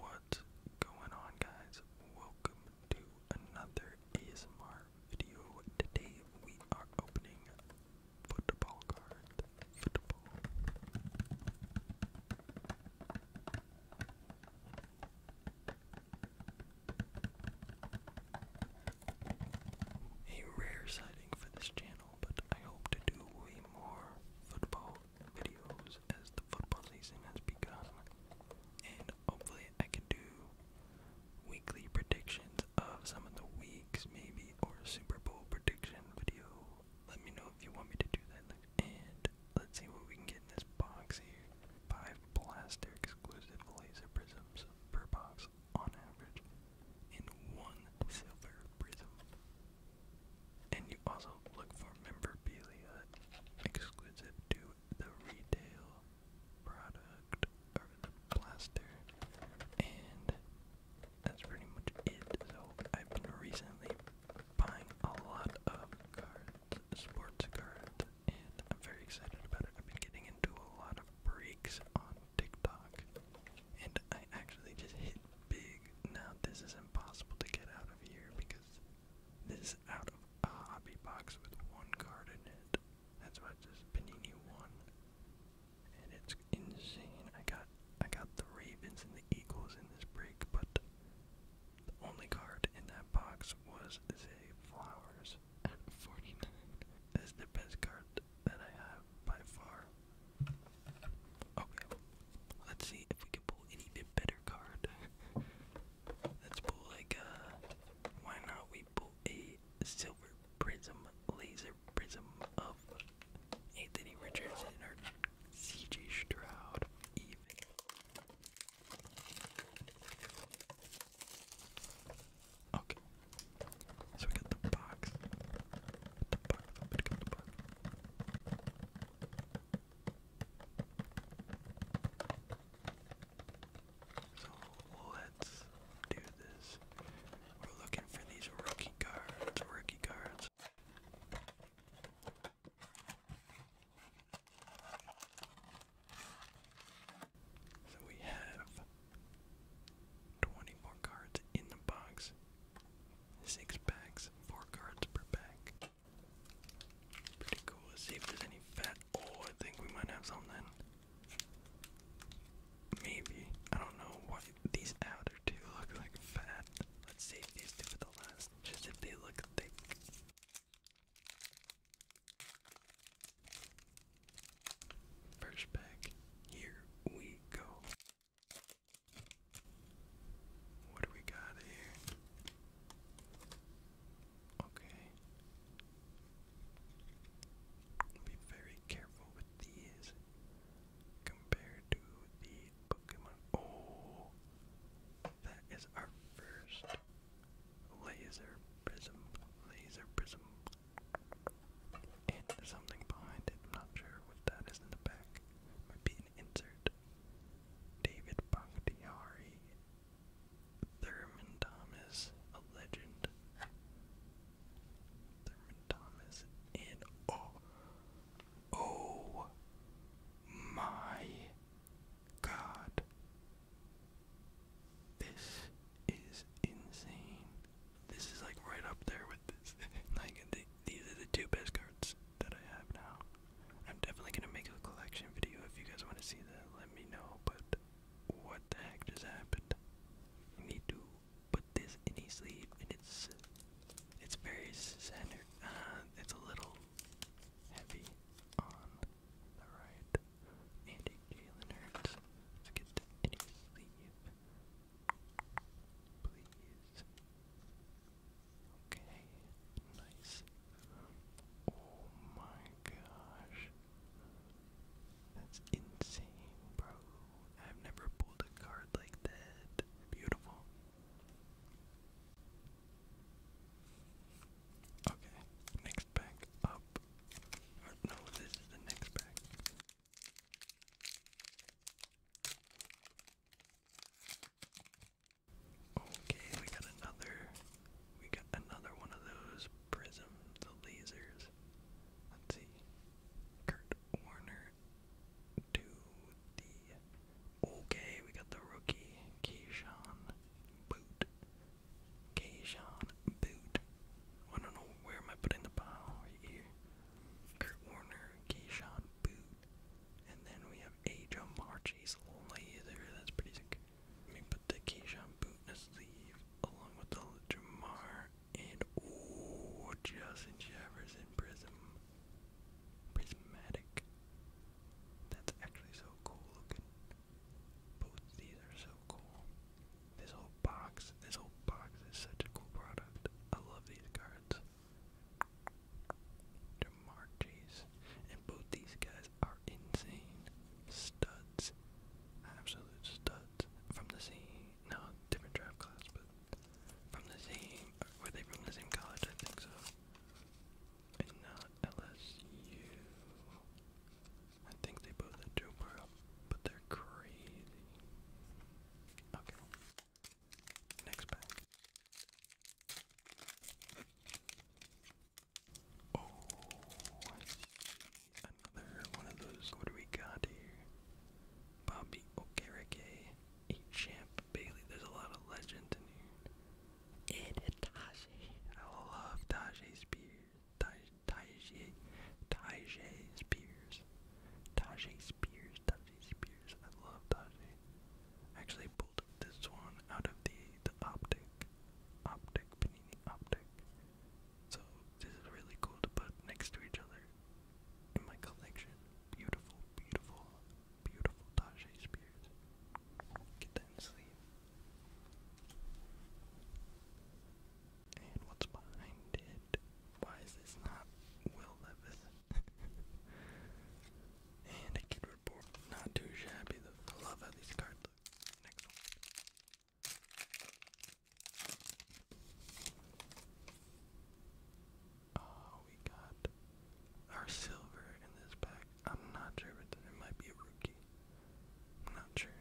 What's going on guys? Welcome to another ASMR video. Today we are opening football card. Football. A rare sighting for this channel, but I hope to do more football videos as the football season has begun, and hopefully I can do weekly predictions of some of the weeks, maybe, or Super Bowl prediction video. Let me know if you want me to do that, and let's see what we can get in this box here. Five plastic exclusive laser prisms per box on average, and one silver prism and you also look for memorabilia exclusive to the retail product or blaster. And that's pretty much it. So I've been recently buying a lot of cards, sports cards, and I'm very excited about it. I've been getting into a lot of breaks on TikTok. And I actually just hit big. Now this is impossible to get out of here because this is out of a hobby box with one card in it. That's why it says Panini one. And it's insane. I got I got the Ravens and the Eagles in this break, but the only card in that box was Zay Flowers at 49. That's the best card that I have by far. Okay, let's see if we can pull an even better card. let's pull like uh why not we pull a silver prism, laser prism of Anthony Richardson or CJ Stroud even. Okay, so we got the box. So let's do this. We're looking for these rookie cards, rookie cards. So we have Twenty more cards in the box. Six packs, four cards per pack. Pretty cool. Let's see if there's any fat. Oh, I think we might have something. Maybe. I don't know what these outer two look like fat. Let's save these two for the last. Just if they look thick. First pack, here we go. What do we got here? Okay. Be very careful with these compared to the Pokemon. Oh, that is our first laser prism. Laser prism. And something behind it. I'm not sure what that is in the back. Might be an insert. David Bakhtiari. Thurman Thomas, a legend. Thurman Thomas, and oh, oh my God, this is insane. This is like right up there with this. like these are the two best cards that I have now. I'm definitely gonna make a collection video if you guys want to see that. Let me know. But what the heck just happened? need to put this in a sleeve, and it's it's very centered. Uh, it's a little heavy on Alright. Andy Jalen Let's get any sleep. Please. Okay. Nice. Oh my gosh. That's insane, bro. I've never pulled a card like that. Beautiful. Okay, next pack up no, this is the next pack. Okay, we got another. We got another one of those prism, the lasers. Let's see. Kurt Warner to the. Okay, we got the rookie Keyshawn Kajon Boot. I don't know where am I putting the pile right here. Kurt Warner, Kajon Boot. And then we have Ajo Marchese Lather. That's pretty sick. Let me put the Kajon Boot in a sleeve along with the Jamar and oh Justin Jefferson Prism. Prismatic. That's actually so cool looking. Both these are so cool. This whole box, this whole box is such a cool product. I love these cards. Demarches. And both these guys are insane. Studs. Absolute studs. From the same, no, different draft class, but from the same, were they from the same college? I think so and not LSU. I think they both had Joe but they're crazy. Okay. Next pack. Oh, Another one of those. What do we got here? Bobby Okereke, champ Bailey. There's a lot of legend in here and Tajay. I love Tajay Spears. Tajay, Tajay Spears. Tajay Spears, Tajay Spears. I love Tajay. actually pulled this one out of the, Optic. Optic, Panini Optic. So this is really cool to put next to each other in my collection. Beautiful, beautiful beautiful Tajay Spears. Get that in sleep. And what's behind it? Why is this not Will Levis? and a kid report. Not too shabby though. I love how these cards look. Oh, we got our silver in this pack. I'm not sure, but there might be a rookie. not sure.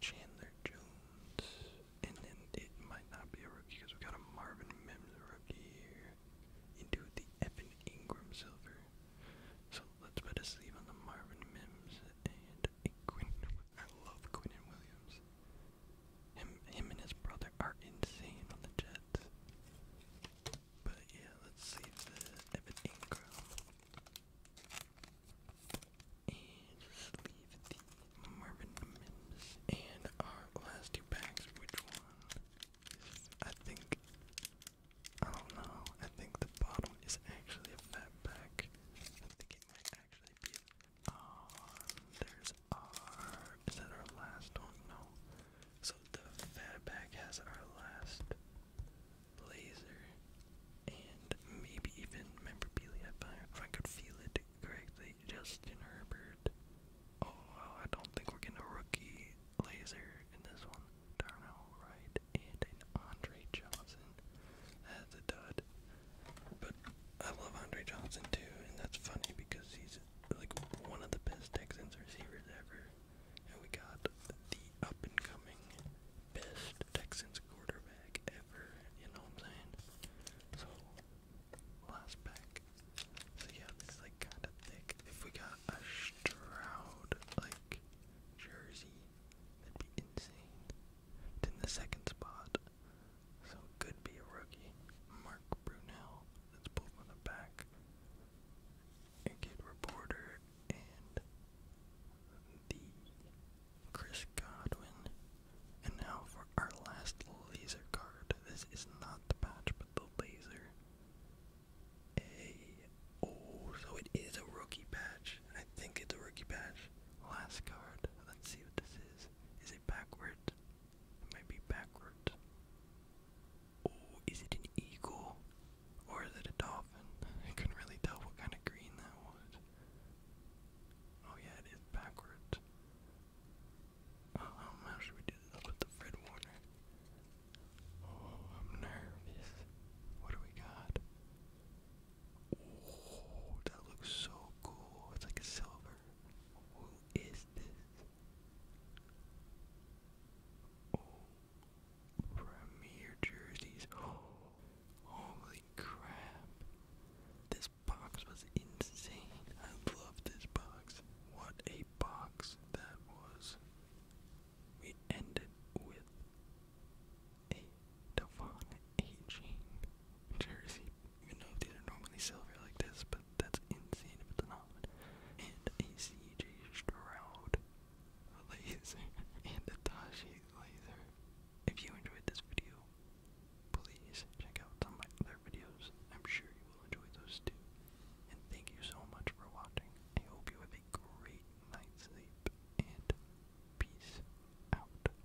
Chandler Jones. And then it might not be a rookie because we got a Marvin Mims rookie here. Into the Evan Ingram silver. So let's put a sleeve on the Marvin Mims and a Quinn. I love Quinn and Williams. Him, him and his brother are insane on the Jets. But yeah, let's save the Evan And just leave the Marvin Mims. And our last two packs, which one? I think, I don't know. I think the bottom is actually a fat pack. I think it might actually be. Oh, there's here's that our last one? No. So the Fatback has our last laser and maybe even memorabilia if I could feel it correctly. Justin Herbert. Oh I don't think we're getting a rookie laser in this one. Darnell Wright and an Andre Johnson. That's a dud. But I love Andre Johnson too, and that's funny because he's he's like one of the best Texans receivers ever. And we got the up and coming best Texans quarterback ever, you know what I'm saying? So last pack. So yeah, this is like kinda thick. If we got a Stroud like jersey, that'd be insane. Then the second spot so could be a rookie. Mark Brunel, that's pulled from the back. A reporter and the Chris Godwin. And now for our last laser card. This is not the patch, but the laser. A oh, so it is a rookie patch. I think it's a rookie patch. Last card. Let's see what this is. Is it backwards? Maybe backwards. Oh, is it an eagle? Or is it a dolphin? I couldn't really tell what kind of green that was. Oh yeah, it is backwards. Um, how should we do this with the Fred Warner? Oh, I'm nervous. What do we got? Oh, that looks so cool. It's like a silver. Who is this? Oh, Premier jerseys. Oh, holy crap. This box was insane. I love this box. What a box that was. We ended with a Devon aging jersey. You know these are normally silver like this, but that's insane if it's not. And a CJ Stroud laser and a Tashi laser. If you enjoyed this video, please check out some of my other videos. I'm sure you will enjoy those too. And thank you so much for watching. I hope you have a great night's sleep and peace out.